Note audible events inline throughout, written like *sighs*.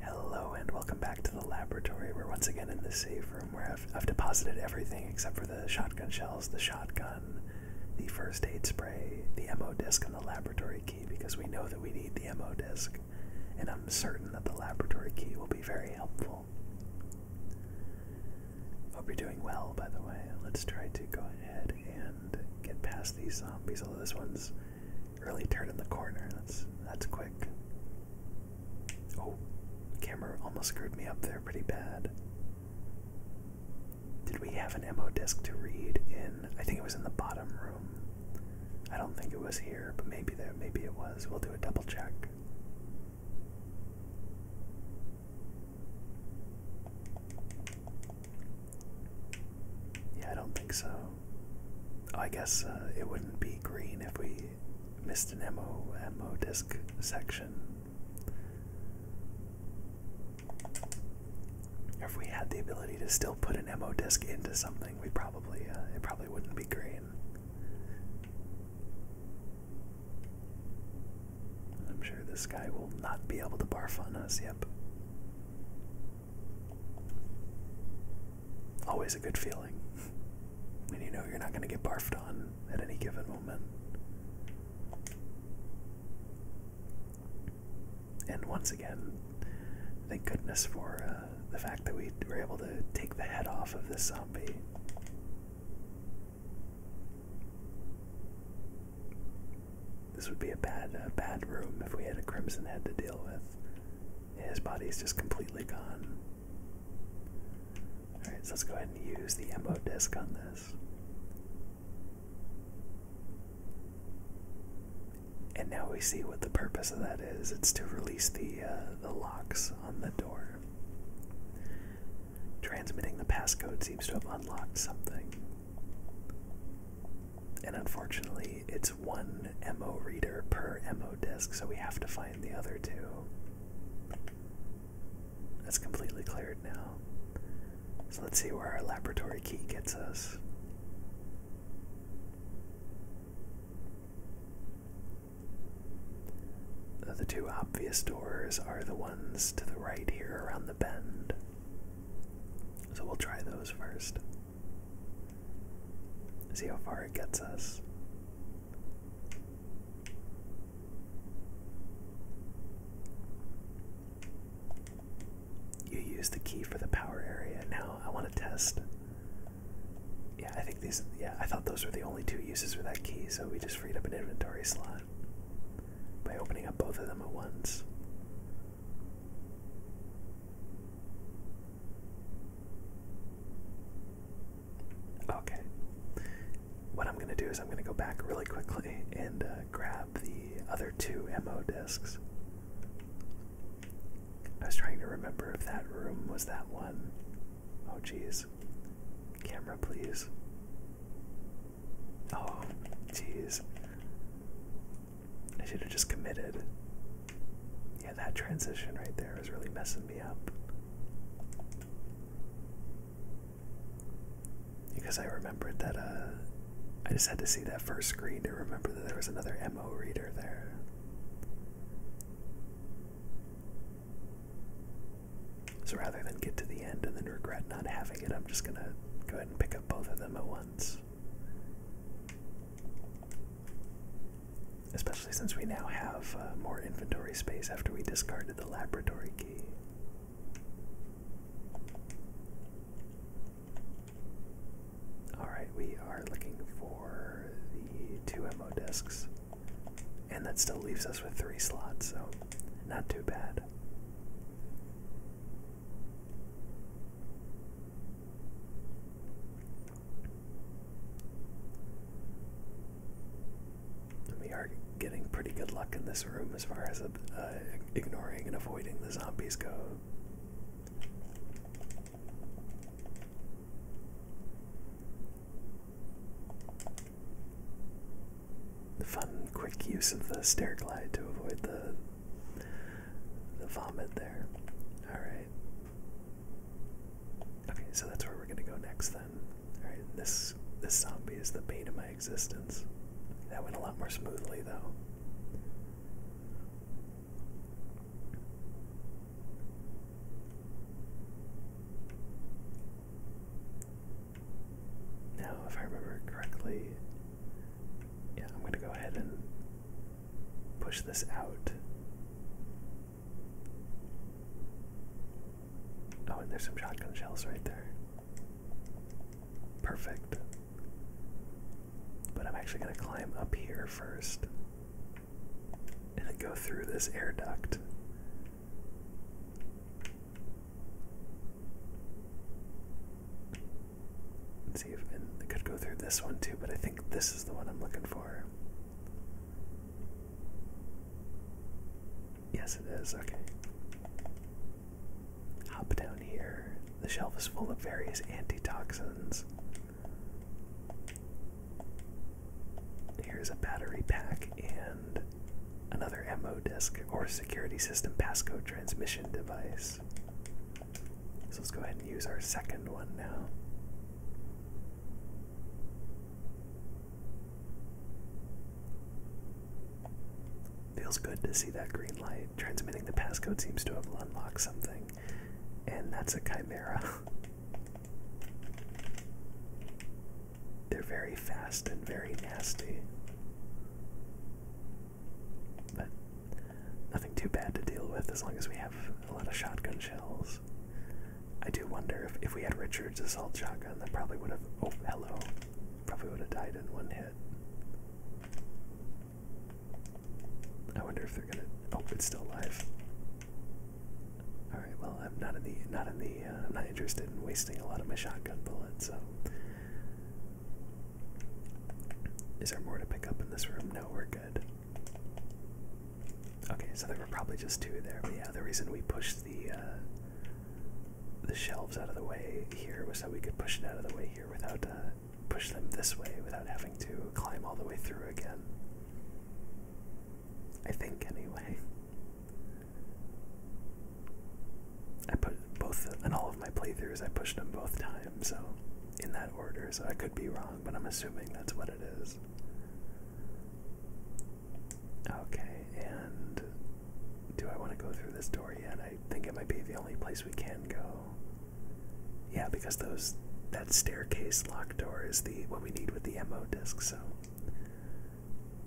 Hello and welcome back to the laboratory. We're once again in the safe room where I've, deposited everything except for the shotgun shells, the shotgun, the first aid spray, the MO disc, and the laboratory key because we know that we need the MO disc, and I'm certain that the laboratory key will be very helpful. Hope you're doing well, by the way. Let's try to go ahead and get past these zombies, although this one's really in the corner. That's that's quick. Oh, camera almost screwed me up there pretty bad. Did we have an MO disc to read in? I think it was in the bottom room. I don't think it was here, but maybe there, maybe it was. We'll do a double check. Yeah, I don't think so. I guess uh, it wouldn't be green if we missed an MO, disc section. if we had the ability to still put an MO disc into something, we probably uh, it probably wouldn't be green. I'm sure this guy will not be able to barf on us. Yep. Always a good feeling *laughs* when you know you're not going to get barfed on at any given moment. And once again, thank goodness for uh, the fact that we were able to take the head off of this zombie. This would be a bad, uh, bad room if we had a crimson head to deal with. His body is just completely gone. Alright, so let's go ahead and use the MO disk on this. And now we see what the purpose of that is. It's to release the uh, the locks on the door. Transmitting the passcode seems to have unlocked something. And unfortunately, it's one MO reader per MO disk, so we have to find the other two. That's completely cleared now. So let's see where our laboratory key gets us. The two obvious doors are the ones to the right here around the bend. So we'll try those first. See how far it gets us. You use the key for the power area. Now I want to test. Yeah, I think these. Yeah, I thought those were the only two uses for that key, so we just freed up an inventory slot by opening up both of them at once. Okay. What I'm going to do is I'm going to go back really quickly and uh, grab the other two MO discs. I was trying to remember if that room was that one. Oh, jeez. Camera, please. Oh, jeez. I should have just committed. Yeah, that transition right there is really messing me up. Because I remembered that, uh, I just had to see that first screen to remember that there was another MO reader there. So rather than get to the end and then regret not having it, I'm just gonna go ahead and pick up both of them at once. Especially since we now have uh, more inventory space after we discarded the laboratory key. Alright, we are looking for the two MO discs. And that still leaves us with three slots, so not too bad. We are getting pretty good luck in this room as far as uh, ignoring and avoiding the zombies go. Fun, quick use of the stair glide to avoid the the vomit there. All right. Okay, so that's where we're gonna go next then. Alright, this this zombie is the bane of my existence. That went a lot more smoothly though. Now, if I remember correctly, yeah, I'm gonna go ahead and push this out. Oh, and there's some shotgun shells right there. Perfect. But I'm actually going to climb up here first and go through this air duct. see if I could go through this one too, but I think this is the one I'm looking for. Yes, it is. Okay. Hop down here. The shelf is full of various antitoxins. Here's a battery pack and another MO disk or security system passcode transmission device. So let's go ahead and use our second one now. Feels good to see that green light. Transmitting the passcode seems to have unlocked something, and that's a chimera. *laughs* They're very fast and very nasty. But nothing too bad to deal with as long as we have a lot of shotgun shells. I do wonder if, if we had Richard's assault shotgun, that probably would have. Oh, hello. Probably would have died in one hit. I wonder if they're gonna. Oh, it's still alive. All right. Well, I'm not in the not in the. Uh, I'm not interested in wasting a lot of my shotgun bullets. So, is there more to pick up in this room? No, we're good. Okay, so there were probably just two there. But yeah, the reason we pushed the uh, the shelves out of the way here was so we could push it out of the way here without uh, push them this way without having to climb all the way through again. I think anyway. I put both in all of my playthroughs. I pushed them both times, so in that order. So I could be wrong, but I'm assuming that's what it is. Okay, and do I want to go through this door yet? I think it might be the only place we can go. Yeah, because those that staircase locked door is the what we need with the MO disc, so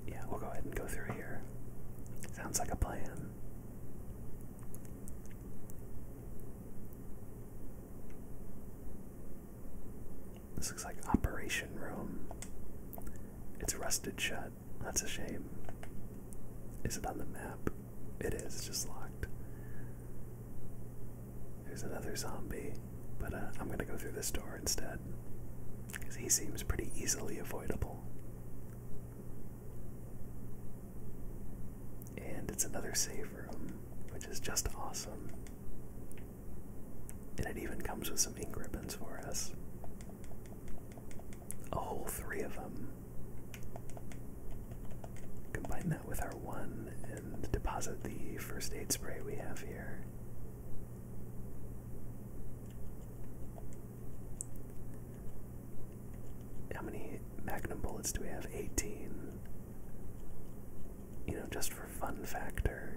yeah, we'll go ahead and go through here. Sounds like a plan. This looks like Operation Room. It's rusted shut. That's a shame. Is it on the map? It is, just locked. There's another zombie, but uh, I'm gonna go through this door instead. Because he seems pretty easily avoidable and it's another safe room, which is just awesome. And it even comes with some ink ribbons for us. A whole three of them. Combine that with our one and deposit the first aid spray we have here. How many magnum bullets do we have? 18 you know, just for fun factor,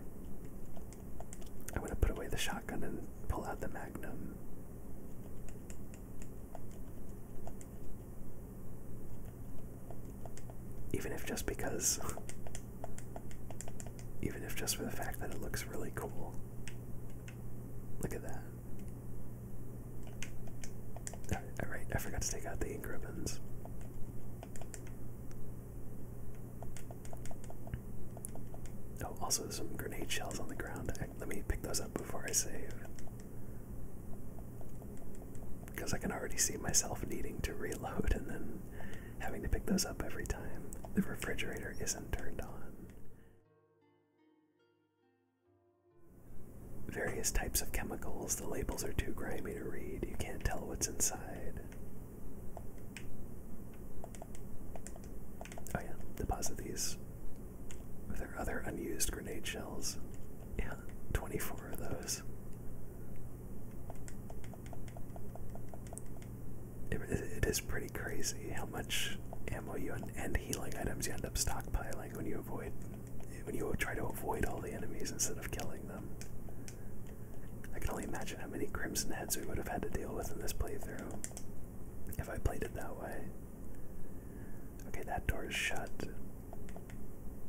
I'm going to put away the shotgun and pull out the magnum. Even if just because, *laughs* even if just for the fact that it looks really cool. Look at that. Alright, I forgot to take out the ink ribbons. Oh, also some grenade shells on the ground. Let me pick those up before I save. Because I can already see myself needing to reload and then having to pick those up every time the refrigerator isn't turned on. Various types of chemicals the labels are too grimy to read. You can't tell what's inside. Oh, yeah. Deposit these with our other unused grenade shells. Yeah, 24 of those. it is pretty crazy how much ammo you and healing items you end up stockpiling when you avoid when you try to avoid all the enemies instead of killing them. I can only imagine how many Crimson Heads we would have had to deal with in this playthrough if I played it that way. Okay, that door is shut.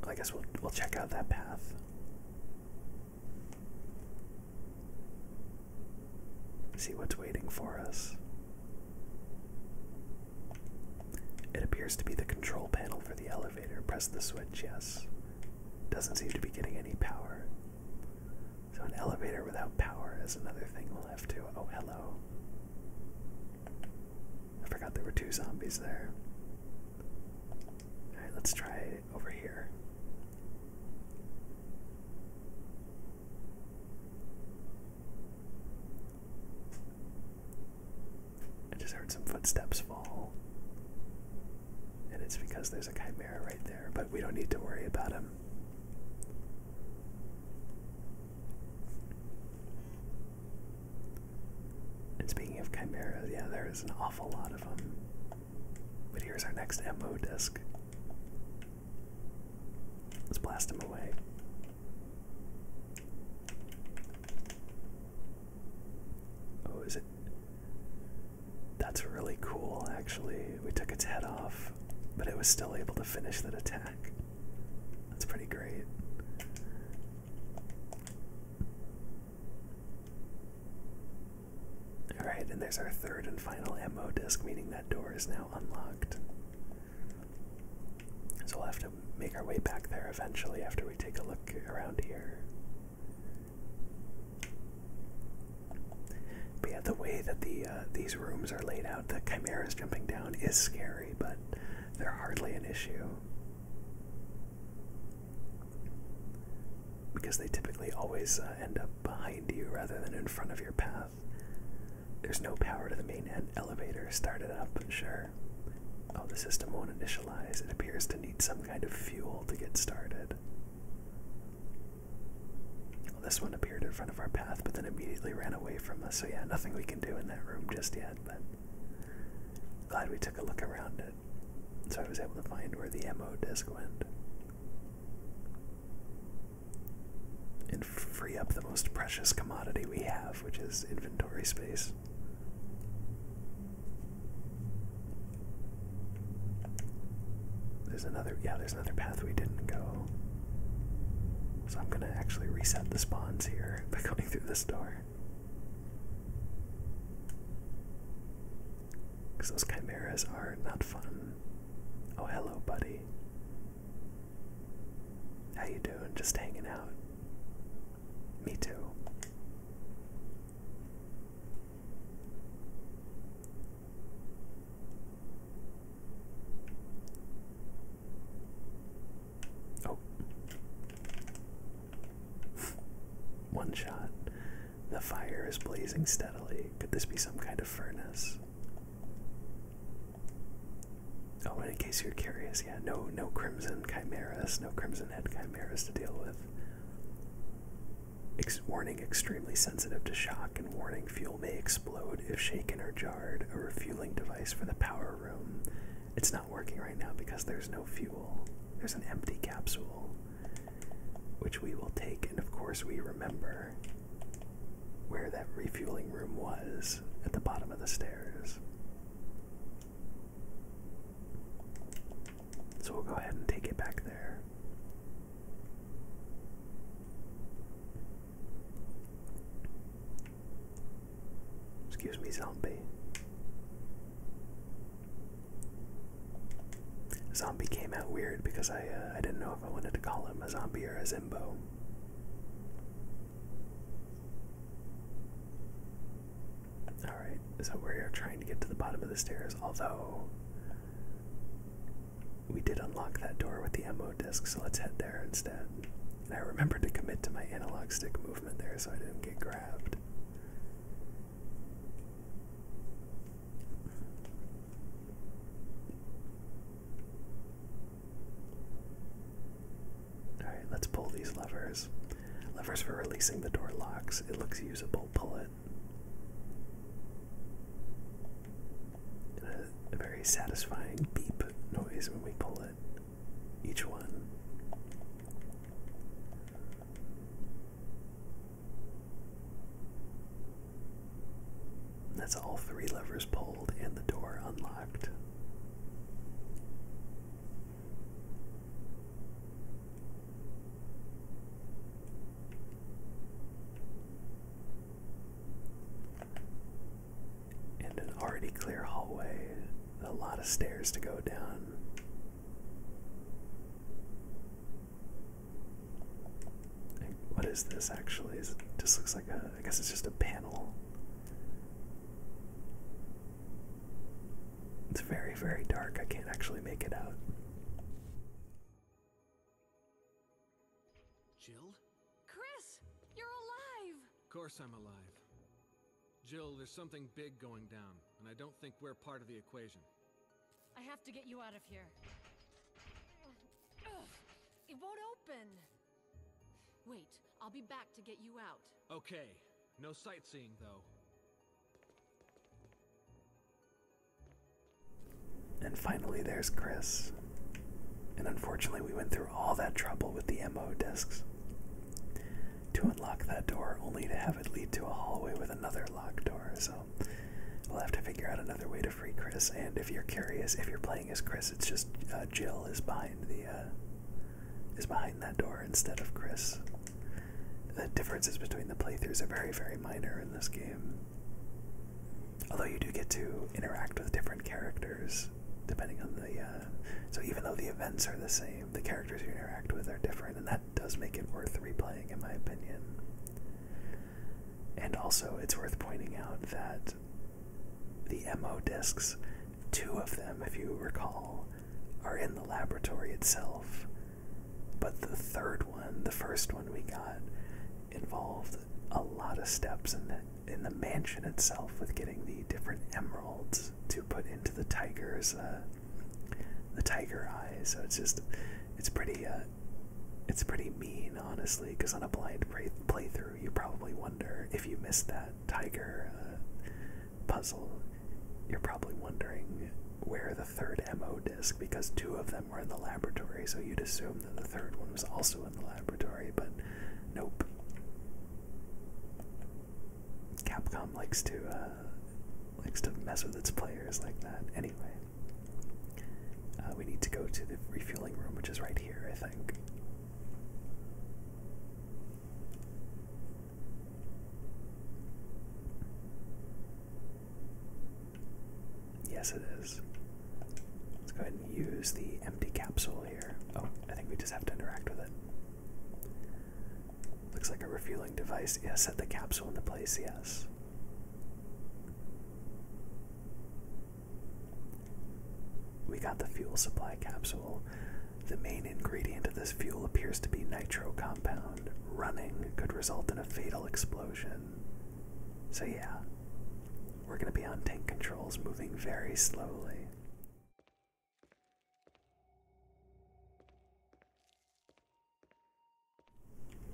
I guess we'll we'll check out that path. See what's waiting for us. It appears to be the control panel for the elevator elevator. Press the switch, yes. Doesn't seem to be getting any power. So, an elevator without power is another thing we'll have to. Oh, hello. I forgot there were two zombies there. Alright, let's try over here. I just heard some footsteps fall. And it's because there's a chimera right there, but we don't need to worry about him. And speaking of chimeras, yeah, there is an awful lot of them. But here's our next MO disc. Let's blast him away. Oh, is it? That's really cool, actually. We took its head off, but it was still able to finish that attack. That's pretty great. Alright, and there's our third and final ammo disc, meaning that door is now unlocked. So we'll have to make our way back there eventually after we take a look around here. But yeah, the way that the uh, these rooms are laid out, the chimeras jumping down is scary, but they're hardly an issue because they typically always uh, end up behind you rather than in front of your path. There's no power to the main end elevator started up, sure. Oh, the system won't initialize. It appears to need some kind of fuel to get started. this one appeared in front of our path, but then immediately ran away from us. So yeah, nothing we can do in that room just yet. But glad we took a look around it, so I was able to find where the ammo disc went and free up the most precious commodity we have, which is inventory space. There's another, yeah, there's another path we didn't go. So I'm gonna actually reset the spawns here *laughs* by going through this door. Because those chimeras are not fun. Oh, hello, buddy. How you doing? Just hanging out. Me too. Oh. *laughs* One shot. The fire is blazing steadily. Could this be some kind of furnace? Oh, in case you're curious, yeah, no no crimson chimeras, no crimson head chimeras to deal with warning extremely sensitive to shock and warning fuel may explode if shaken or jarred. A refueling device for the power room. It's not working right now because there's no fuel. There's an empty capsule, which we will take, and of course, we remember where that refueling room was at the bottom of the stairs. So we'll go ahead and take it back there. Excuse me, zombie. Zombie came out weird because I uh, I didn't know if I wanted to call him a zombie or a Zimbo. Alright, so we are trying to get to the bottom of the stairs, although we did unlock that door with the MO disc, so let's head there instead. And I remembered to commit to my analog stick movement there so I didn't get grabbed. Alright, let's pull these levers levers. for releasing the door locks. It looks usable. Pull it. a very satisfying beep noise when we pull it. Each one. That's all three levers pulled and the door unlocked. And an already clear hallway, a lot of stairs to go down. what is this actually? Is it just looks like a I guess it's just a panel. It's very, very dark. I can't actually make it out. Jill? Chris, you're alive! Of course I'm alive. Jill, there's something big going down, and I don't think we're part of the equation. I have to get you out of here. it won't open! Wait, I'll be back to get you out. Okay, no sightseeing, though. And finally, there's Chris. And unfortunately, we went through all that trouble with the MO discs to unlock that door, only to have it lead to a hallway with another locked door. So we'll have to figure out another way to free Chris. And if you're curious, if you're playing as Chris, it's just uh, Jill is behind the uh, is behind that door instead of Chris the differences between the playthroughs are very, very minor in this game. Although you do get to interact with different characters depending on the. Uh, so even though the events are the same, the characters you interact with are different, and that does make it worth replaying, in my opinion. And also, it's worth pointing out that the MO discs, two of them, if you recall, are in the laboratory itself. But the third one, the first one we got, involved a lot of steps in the, in the mansion itself with getting the different emeralds to put into the tiger's uh, the tiger eyes. So it's just it's pretty uh, it's pretty mean, honestly, because on a blind playthrough, you probably wonder if you missed that tiger. Uh, puzzle, you're probably wondering where the third MO disc, because two of them were in the laboratory, so you'd assume that the third one was also in the laboratory, but nope. Capcom likes to uh, likes to mess with its players like that. Anyway, uh, we need to go to the refueling room, which is right here, I think. Yes, it is. Let's go ahead and use the empty capsule here. Oh, I think we just have to interact with it. Looks like a refueling device. Yeah, set the capsule into place, yes. We got the fuel supply capsule. The main ingredient of this fuel appears to be nitro compound running could result in a fatal explosion. So, yeah, we're going to be on tank controls moving very slowly.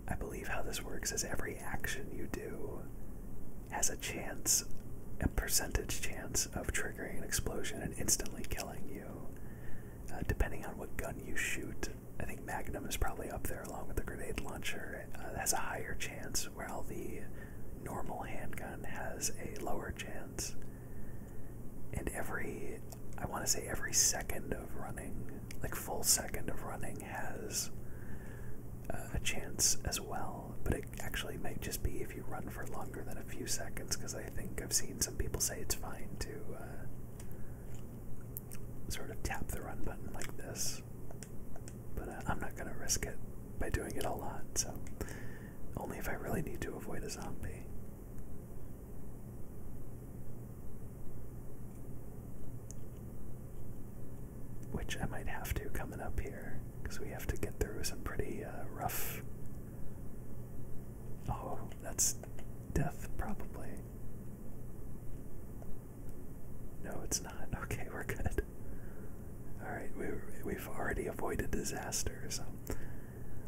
I believe how this works is every action you do has a chance, a percentage chance of triggering an explosion and instantly killing you, uh, depending on what gun you shoot. I think Magnum is probably up there along with the grenade launcher. it uh, has a higher chance, while the normal handgun has a lower chance. And every, I want to say every second of running, like full second of running, has uh, a chance as well. But it actually might just be if you run for longer than a few seconds, because I think I've seen some people say it's fine to. Uh, sort of tap the run button like this, but uh, I'm not going to risk it by doing it a lot, so only if I really need to avoid a zombie. Which I might have to coming up here, because we have to get through some pretty uh, rough. Oh, that's death, probably. No, it's not. *laughs* Okay, we're good. All right, we, we've already avoided disaster, so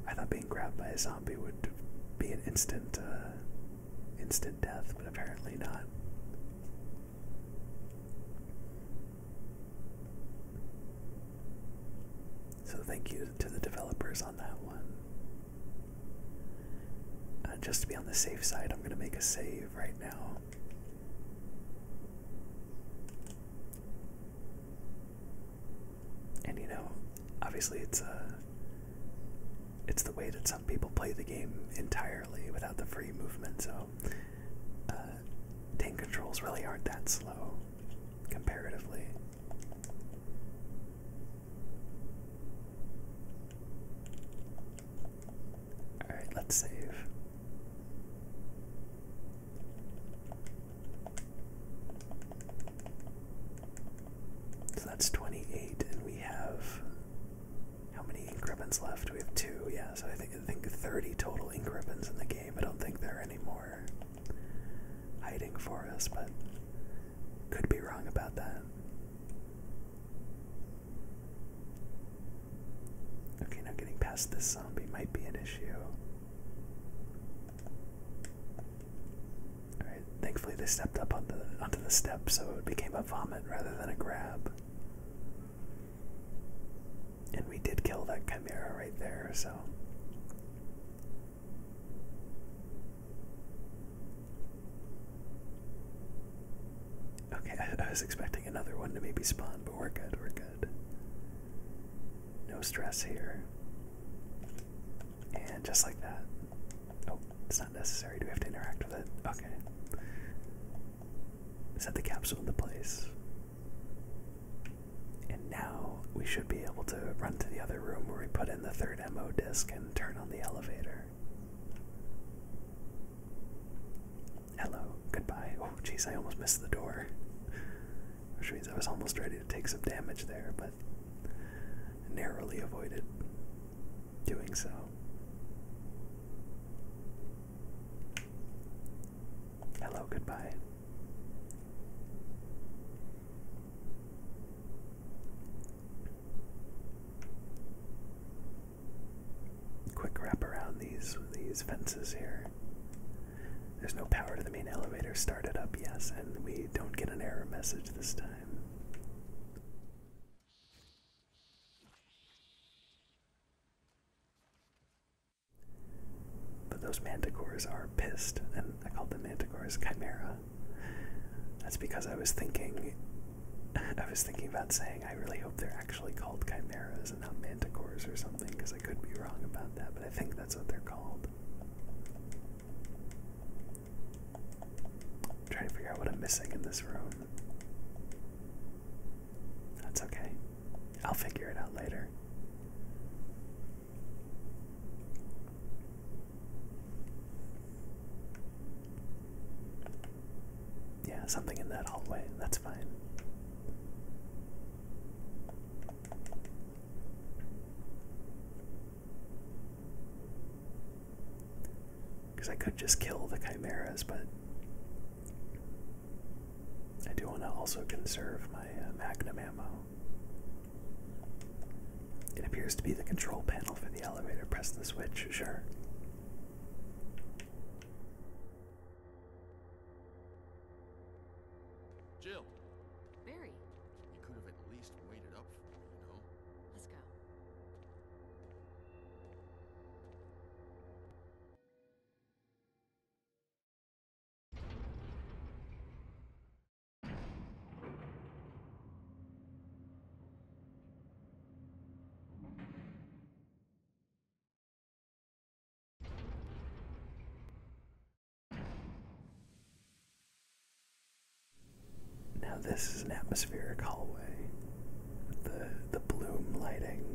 I thought being grabbed by a zombie would be an instant, uh, instant death, but apparently not. So thank you to the developers on that one. Uh, just to be on the safe side, I'm going to make a save right now. And you know, obviously it's a uh, it's the way that some people play the game entirely without the free movement, so uh, tank controls really aren't that slow comparatively. All right, let's save. So that's 28, and we have how many ink ribbons left? We have two, yeah, so I think, I think 30 total ink ribbons in the game. I don't think there are any more hiding for us, but could be wrong about that. Okay, now getting past this zombie might be an issue. Alright, thankfully they stepped up on the onto the step so it became a vomit rather than a grab. And we did kill that chimera right there, so Okay, I, was expecting another one to maybe spawn, but we're good, we're good. No stress here. And just like that. Oh, it's not necessary. Do we have to interact with it? Okay. Set the capsule in the place. And now we should be able to run to the other room where we put it the third MO disc and turn on the elevator. Hello, goodbye. Oh, geez, I almost missed the door. Which means I was almost ready to take some damage there, but narrowly avoided doing so. Hello, goodbye. Quick wrap around these these fences here. There's no power to the main elevator. Started up, yes, and we don't get an error message this time. But those manticores are pissed, and I call them manticores chimera. That's because I was thinking I was thinking about saying I really hope they're actually called chimeras and not manticores or something, because I could be wrong about that, but I think that's what they're called. i trying to figure out what I'm missing in this room. That's okay. I'll figure it out later. Yeah, something in that hallway. That's fine. Because I could just kill the chimeras, but I do want to also conserve my uh, magnum ammo. It appears to be the control panel for the elevator. Press the switch, sure. Jill! Barry! You could have at least waited up for me, you know? Let's go. Now this is an atmospheric hallway the, the bloom lighting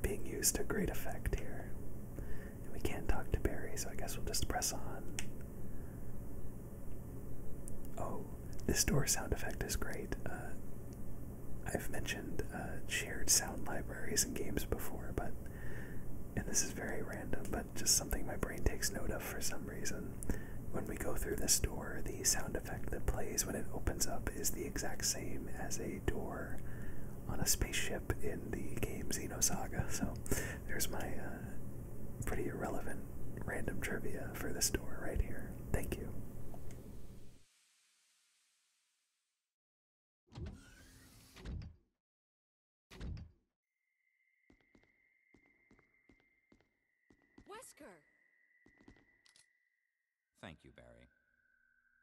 being used to great effect here. we can't talk to Barry, so I guess we'll just press on. Oh, this door sound effect is great. Uh, I've mentioned uh, shared sound libraries and games before, but and this is very random, but just something my brain takes note of for some reason. When we go through this door, the sound effect that plays when it opens up is the exact same as a door on a spaceship in the game Xenosaga. *laughs* So there's my uh, pretty irrelevant random trivia for this door right here. Thank you. Wesker. Thank you, Barry.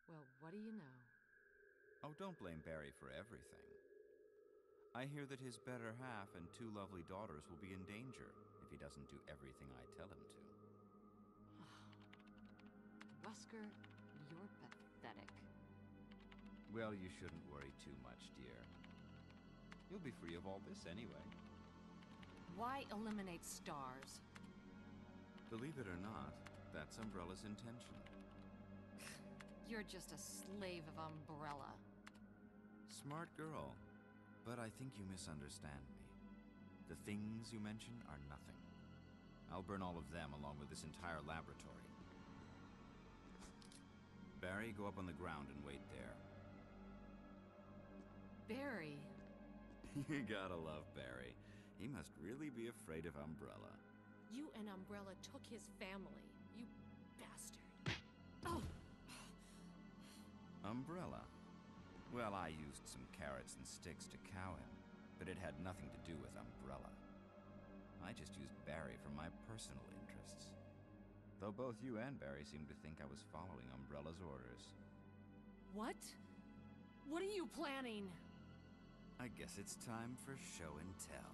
Well, what do you know? Oh, don't blame Barry for everything. I hear that his better half and two lovely daughters will be in danger if he doesn't do everything I tell him to. Wesker, *sighs* you're pathetic. Well, you shouldn't worry too much, dear. You'll be free of all this anyway. Why eliminate stars? Believe it or not, that's Umbrella's intention. *sighs* You're just a slave of Umbrella. Smart girl, but I think you misunderstand me. The things you mention are nothing. I'll burn all of them along with this entire laboratory. Barry, go up on the ground and wait there. Barry? *laughs* you gotta love Barry. He must really be afraid of Umbrella. You and Umbrella took his family, you bastard. Oh. Umbrella. Well, I used some carrots and sticks to cow him, but it had nothing to do with Umbrella. I just used Barry for my personal interests. Though both you and Barry seemed to think I was following Umbrella's orders. What? What are you planning? I guess it's time for show and tell.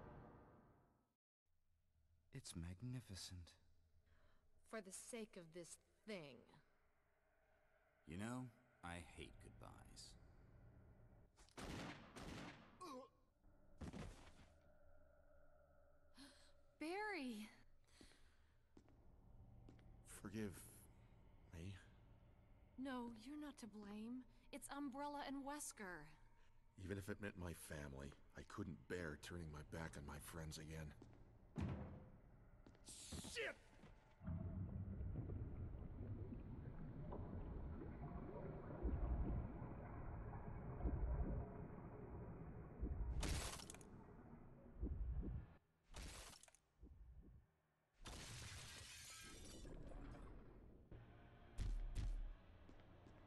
It's magnificent. For the sake of this thing. You know, I hate goodbyes. *gasps* Barry! Forgive... me? No, you're not to blame. It's Umbrella and Wesker. Even if it meant my family, I couldn't bear turning my back on my friends again. Shit!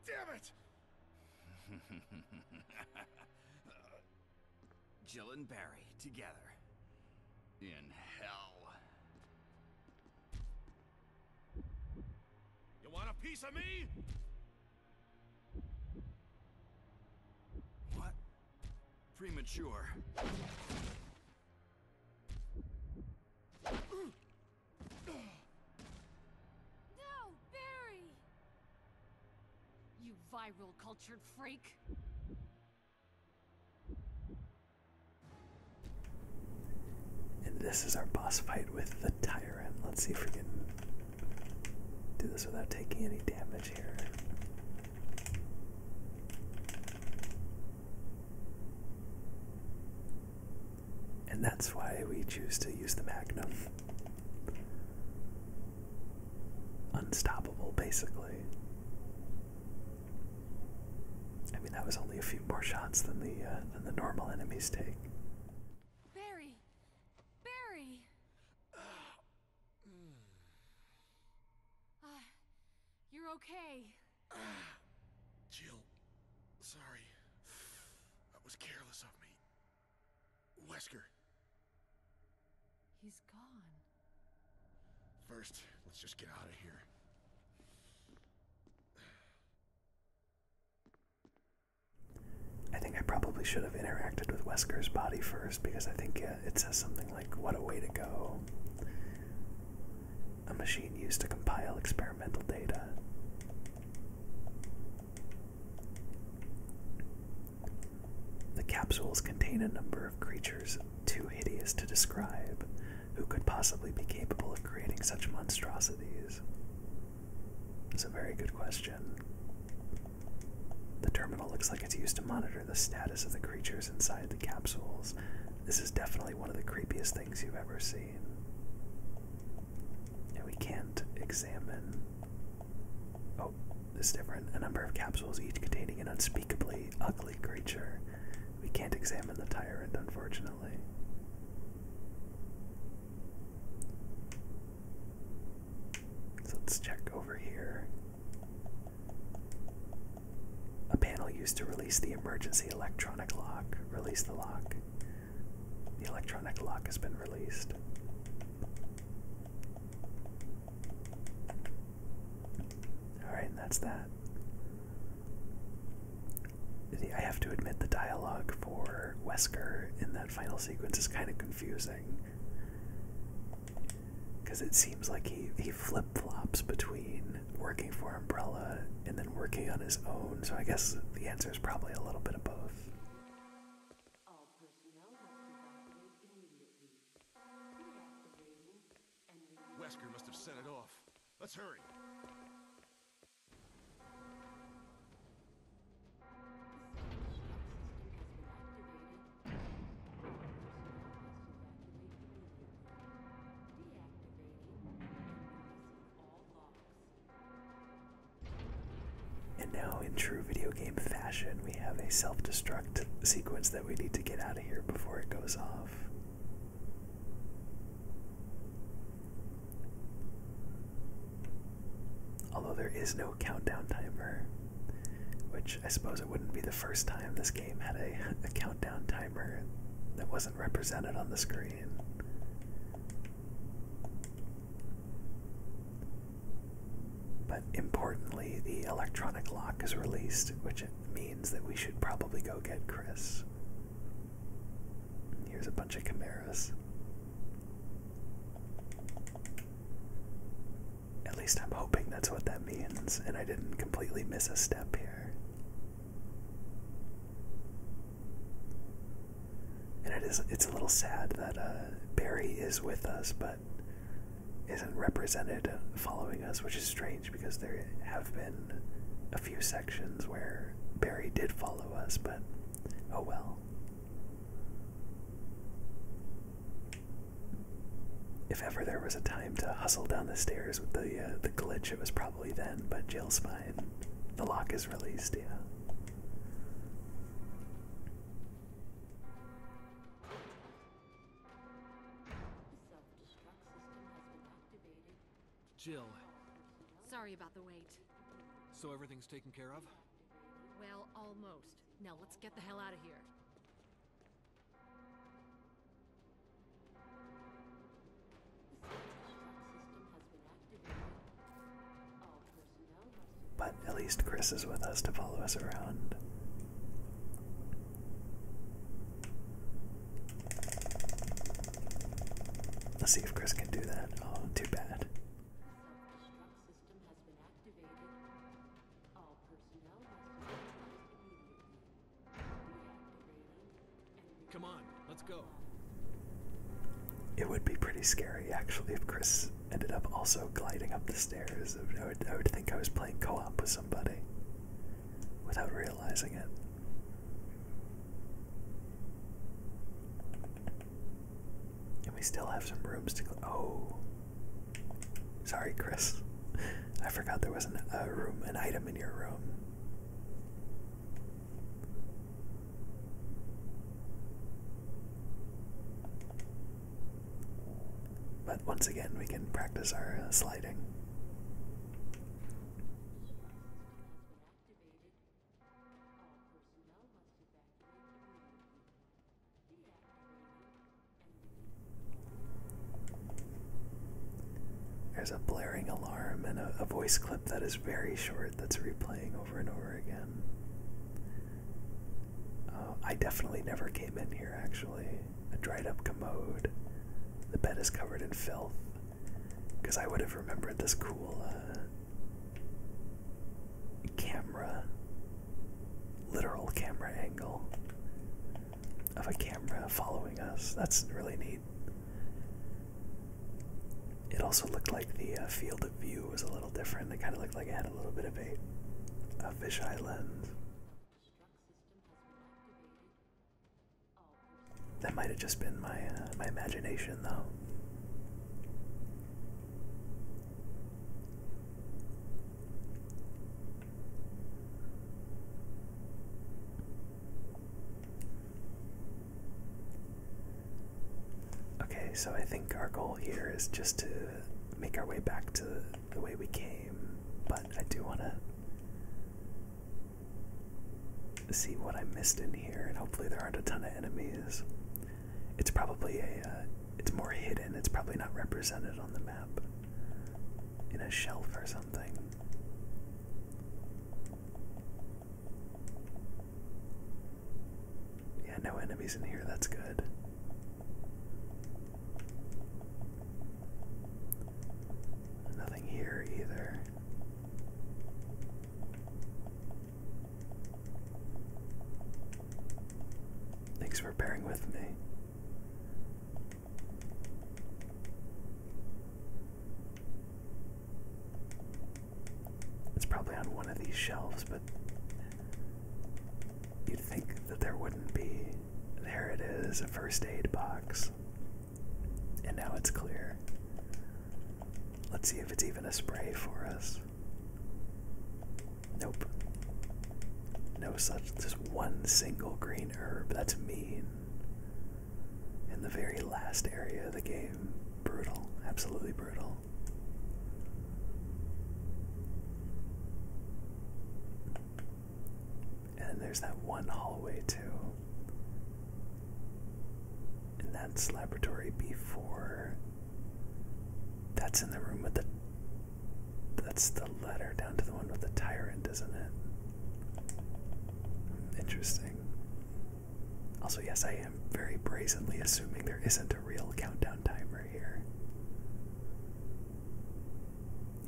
Damn it! Jill and Barry together. In hell. You want a piece of me? What? Premature. No, Barry! You viral cultured freak! And this is our boss fight with the tyrant. Let's see if we can do this without taking any damage here. And that's why we choose to use the Magnum. Unstoppable, basically. I mean, that was only a few more shots than the uh, than the normal enemies take. Barry, Barry. *sighs* Uh, you're okay. *sighs* Jill, sorry. *sighs* That was careless of me. Wesker. He's gone. First, let's just get out of here. I think I probably should have interacted with Wesker's body first because I think it says something like, What a way to go a machine used to compile experimental data. The capsules contain a number of creatures too hideous to describe, who could possibly be capable of creating such monstrosities? It's a very good question. The terminal looks like it's used to monitor the status of the creatures inside the capsules. This is definitely one of the creepiest things you've ever seen. And we can't examine. Oh, this is different. A number of capsules, each containing an unspeakably ugly creature. We can't examine the tyrant, unfortunately. So let's check over here a panel used to release the emergency electronic lock. Release the lock. The electronic lock has been released. Alright, and that's that. I have to admit, the dialogue for Wesker in that final sequence is kind of confusing. Because it seems like he, he flip flops between working for Umbrella and then working on his own. So I guess the answer is probably a little bit of both. Wesker must have sent it off. Let's hurry. And now, in true video game fashion, we have a self destruct sequence that we need to get out of here before it goes off. Although there is no countdown timer, which I suppose it wouldn't be the first time this game had a, *laughs* countdown timer that wasn't represented on the screen. But importantly, the electronic lock is released, which means that we should probably go get Chris. Here's a bunch of Chimeras. At least I'm hoping that's what that means, and I didn't completely miss a step here. And it is it's a little sad that uh, Barry is with us but isn't represented following us, which is strange because there have been a few sections where Barry did follow us, but oh well. If ever there was a time to hustle down the stairs with the uh, the glitch, it was probably then. But Jill the lock is released, yeah. Jill. Sorry about the wait. So everything's taken care of? Well, almost. Now let's get the hell out of here. But at least Chris is with us to follow us around. Let's see if Chris can do that. Oh, too bad. Come on, let's go. It would be pretty scary, actually, if Chris ended up also gliding up the stairs. I would, I would think I was playing co op with somebody without realizing it. And we still have some rooms to go. Oh. Sorry, Chris. *laughs* I forgot there was a room, an item in your room. But once again, we can practice our uh, sliding. There's a blaring alarm and a, voice clip that is very short that's replaying over and over again. Uh, I definitely never came in here actually. A dried up commode. The bed is covered in filth. Because I would have remembered this cool uh, camera, literal camera angle of a camera following us. That's really neat. It also looked like the uh, field of view was a little different. It kind of looked like it had a little bit of a, a fisheye lens. That might have just been my uh, my imagination, though. Okay, so I think our goal here is just to make our way back to the way we came, but I do want to see what I missed in here, and hopefully there aren't a ton of enemies. It's probably a, uh, it's more hidden, it's probably not represented on the map in a shelf or something. Yeah, no enemies in here, that's good. Nothing here either. Thanks for bearing with me. It's probably on one of these shelves, but you'd think that there wouldn't be. There it is, a first aid box. And now it's clear. Let's see if it's even a spray for us. Nope. No such. Just one single green herb. That's mean in the very last area of the game. Brutal, absolutely brutal. And there's that one hallway too. And that's laboratory B4. That's in the room with the that's the letter down to the one with the tyrant, isn't it? Interesting. Also, yes, I am very brazenly assuming there isn't a real countdown timer here.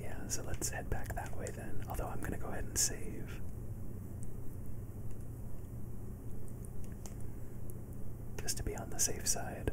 Yeah, so let's head back that way then. Although I'm going to go ahead and save. Just to be on the safe side.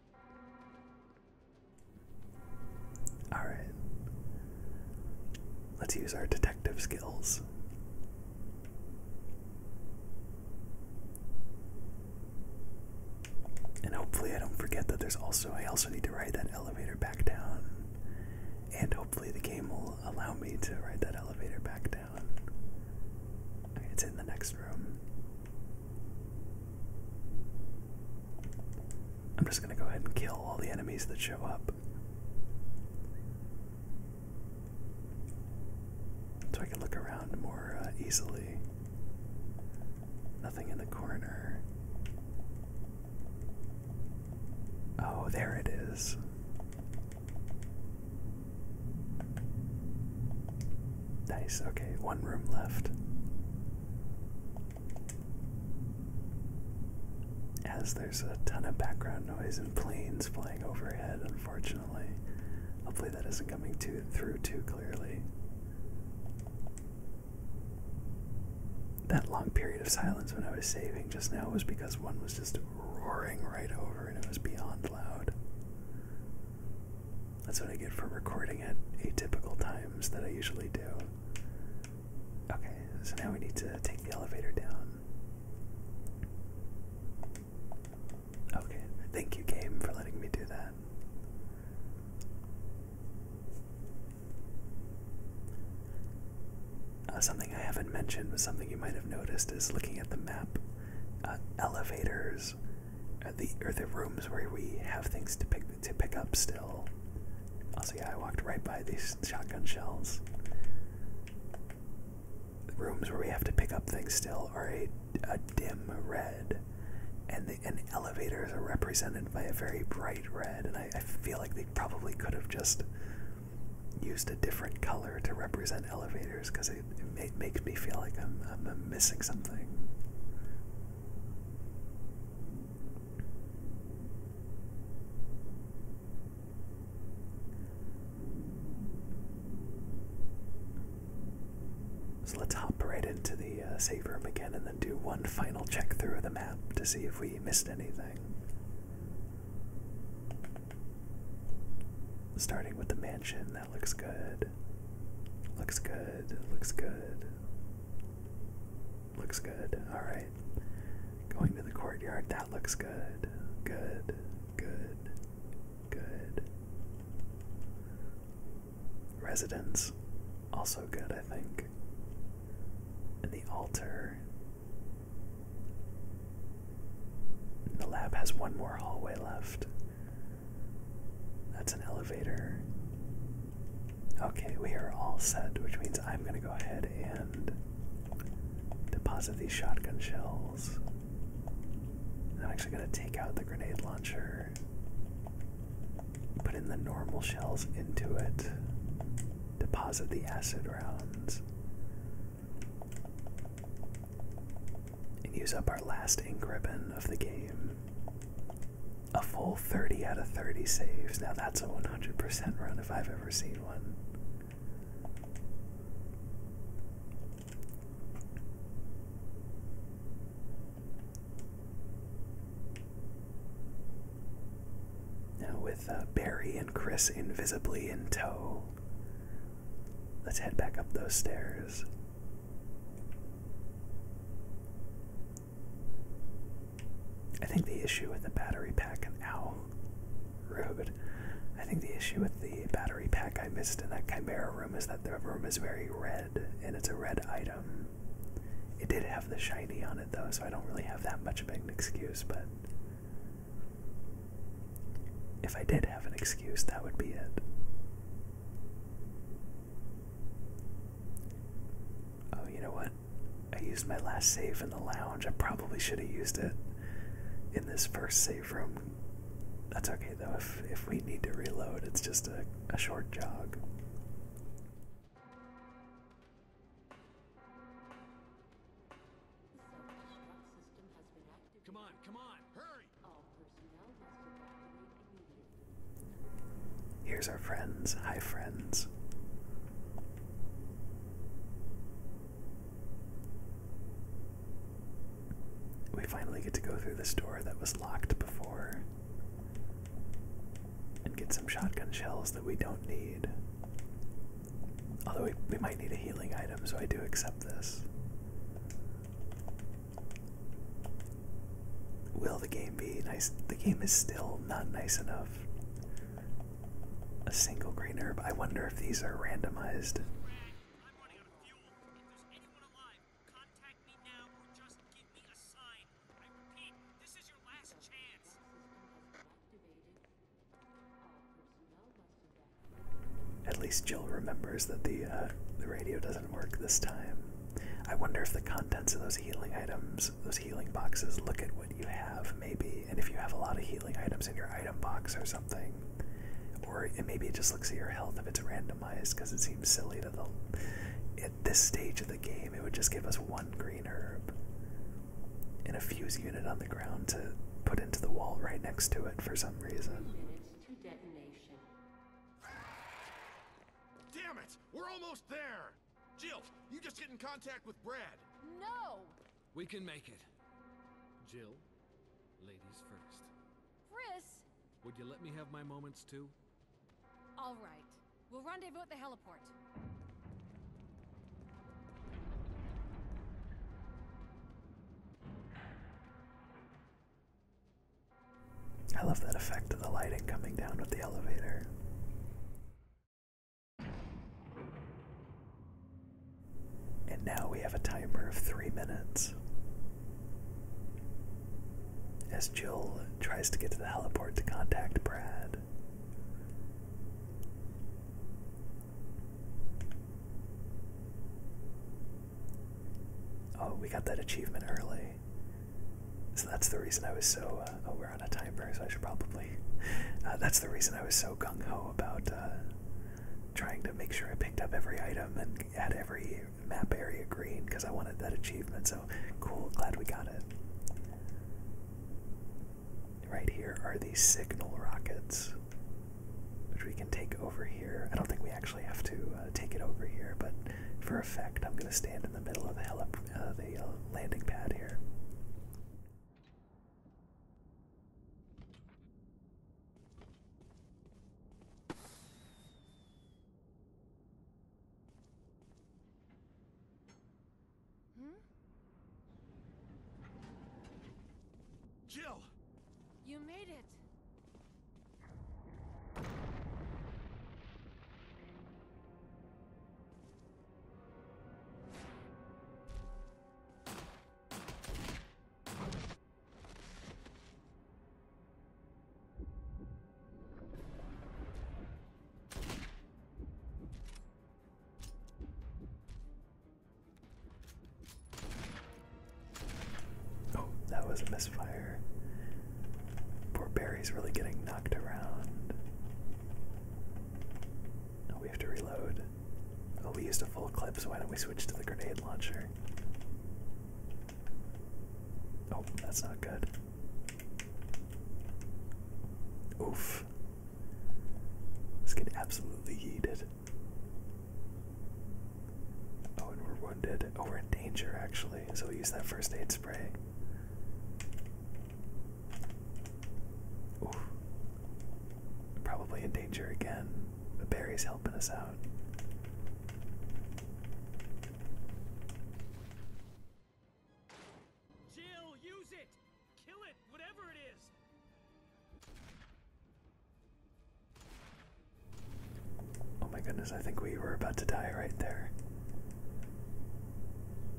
Alright. Let's use our detective skills. And hopefully I don't forget that there's also I also need to ride that elevator back down. And hopefully the game will allow me to ride that elevator back down. it's in the next room. I'm just going to go ahead and kill all the enemies that show up. So I can look around more uh, easily. Nothing in the corner. Oh, there it is. Nice, okay, one room left. As there's a ton of background noise and planes flying overhead, unfortunately. Hopefully, that isn't coming through too clearly. That long period of silence when I was saving just now was because one was just roaring right over and it was beyond loud. That's what I get for recording at atypical times that I usually do. Okay, so now we need to take the elevator down. Okay, thank you, game, for letting me do that. Uh, something I haven't mentioned, but something you might have noticed, is looking at the map. Uh, elevators, or uh, the or the rooms where we have things to pick to pick up still. Also, yeah, I walked right by these shotgun shells. The rooms where we have to pick up things still are a, a dim red, and the and elevators are represented by a very bright red. And I, I feel like they probably could have just used a different color to represent elevators because it, it makes me feel like I'm, I'm missing something. So let's hop right into the uh, save room again and then do one final check through of the map to see if we missed anything. Starting with the mansion, that looks good. Looks good, looks good. Looks good. All right. Going to the courtyard. That looks good. Good. Good. Good. Residence. Also good, I think. And the altar. the lab has one more hallway left. That's an elevator. Okay, we are all set, which means I'm going to go ahead and deposit these shotgun shells. I'm actually going to take out the grenade launcher, put in the normal shells into it, deposit the acid rounds, and use up our last ink ribbon of the game a full 30 out of 30 saves. Now that's a 100% run if I've ever seen one. Now, with uh, Barry and Chris invisibly in tow, let's head back up those stairs. I think the issue with the battery pack and ow, rude. I think the issue with the battery pack I missed in that Chimera room is that the room is very red, and it's a red item. It did have the shiny on it though, so I don't really have that much of an excuse, but if I did have an excuse, that would be it. Oh, you know what? I used my last save in the lounge. I probably should have used it in this first save room. That's okay though. If if we need to reload, it's just a, a short jog. Come on, come on, hurry! Here's our friends. Hi, friends. We finally get to go through this door that was locked before and get some shotgun shells that we don't need. Although we, we might need a healing item, so I do accept this. Will the game be nice? The game is still not nice enough. A single green herb. I wonder if these are randomized. At least Jill remembers that the uh, the radio doesn't work this time. I wonder if the contents of those healing items those healing boxes, look at what you have maybe, and if you have a lot of healing items in your item box or something, or it, maybe it just looks at your health if it's randomized, because it seems silly that the at this stage of the game it would just give us one green herb and a fuse unit on the ground to put into the wall right next to it for some reason. Damn it! We're almost there! Jill, you just get in contact with Brad. No! We can make it. Jill, ladies first. Chris! Would you let me have my moments too? All right. We'll rendezvous at the heliport. I love that effect of the lighting coming down with the elevator. And now we have a timer of three minutes. As Jill tries to get to the heliport to contact Brad. Oh, we got that achievement early. So that's the reason I was so. Uh, oh, we're on a timer, so I should probably. Uh, that's the reason I was so gung ho about uh, trying to make sure I picked up every item and had every map area green because I wanted that achievement. So cool, glad we got it. Right here are these signal rockets, which we can take over here. I don't think we actually have to uh, take it over here, but for effect, I'm going to stand in the middle of the helipad uh, the uh, landing pad here. Jill! You made it! Oh, that was a misfire. Poor Barry's really getting knocked around. Oh, we have to reload. Oh, we used a full clip, so why don't we switch to the grenade launcher? Oh, that's not good. Oof. This can absolutely yeeted. Oh, and we're wounded. Oh, we're in danger actually, so we'll use that first aid spray. Oof. Probably in danger again. The helping us out. Jill, use it! Kill it, whatever it is! Oh my goodness, I think we were about to die right there.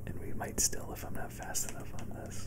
And we might still if I'm not fast enough on this.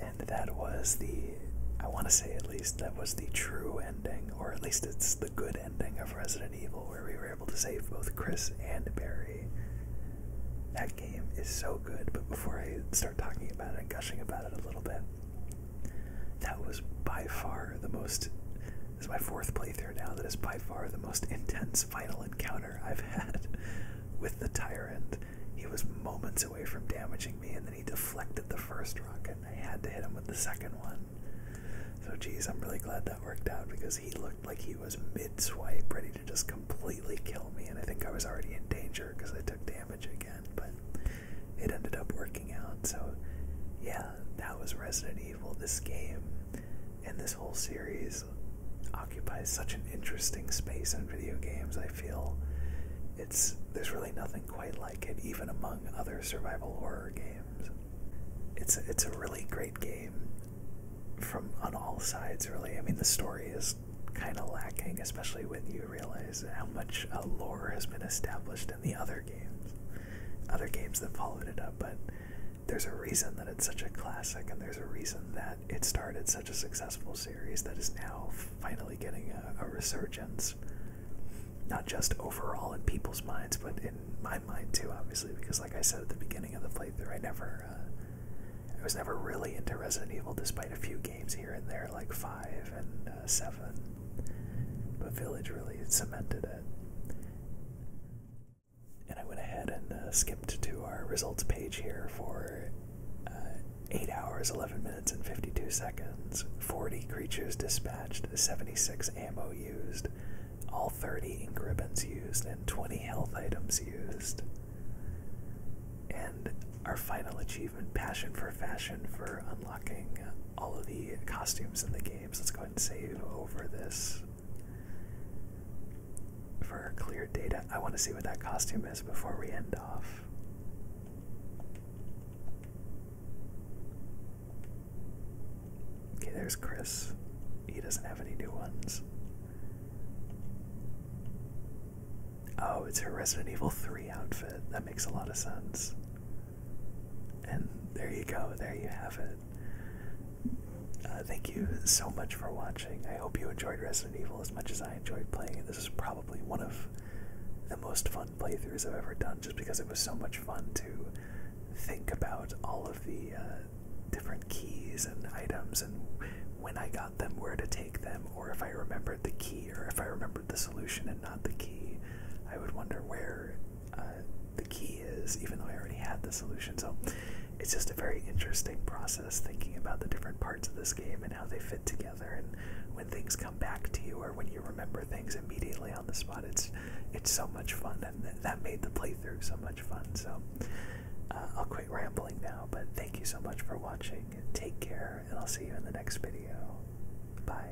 And that was the, I want to say at least, that was the true ending, or at least it's the good ending of Resident Evil, where we were able to save both Chris and Barry. That game is so good, but before I start talking about it and gushing about it a little bit, that was by far the most. This is my fourth playthrough now. That is by far the most intense final encounter I've *laughs* had with the tyrant. He was moments away from damaging me, and then he deflected the first rocket, and I had to hit him with the second one. So, geez, I'm really glad that worked out because he looked like he was mid swipe, ready to just completely kill me, and I think I was already in danger because I took damage again. But it ended up working out. So, yeah, that was Resident Evil. This game and this whole series occupies such an interesting space in video games. I feel it's there's really nothing quite like it, even among other survival horror games. It's it's a really great game from on all sides. Really, I mean, the story is kind of lacking, especially when you realize how much lore has been established in the other games other games that followed it up, but there's a reason that it's such a classic, and there's a reason that it started such a successful series that is now finally getting a, resurgence. Not just overall in people's minds, but in my mind too, obviously, because like I said at the beginning of the playthrough, I never, uh, I was never really into Resident Evil, despite a few games here and there, like five and uh, seven. But Village really cemented it. And I went ahead and uh, skipped to our results page here for uh, 8 hours, 11 minutes, and 52 seconds. 40 creatures dispatched, 76 ammo used, all 30 ink ribbons used, and 20 health items used. And our final achievement, Passion for Fashion, for unlocking all of the costumes in the games. Let's go ahead and save over this for clear data. I want to see what that costume is before we end off. Okay, there's Chris. He doesn't have any new ones. Oh, it's her Resident Evil 3 outfit. That makes a lot of sense. And there you go, there you have it. Uh, thank you so much for watching. I hope you enjoyed Resident Evil as much as I enjoyed playing it. This is probably one of the most fun playthroughs I've ever done just because it was so much fun to think about all of the uh, different keys and items and when I got them, where to take them, or if I remembered the key, or if I remembered the solution and not the key, I would wonder where uh, the key is, even though I already had the solution. So it's just a very interesting process thinking about the different parts of this game and how they fit together and when things come back to you or when you remember things immediately on the spot. It's it's so much fun and that made the playthrough so much fun. So uh, I'll quit rambling now, but thank you so much for watching. Take care and I'll see you in the next video. Bye.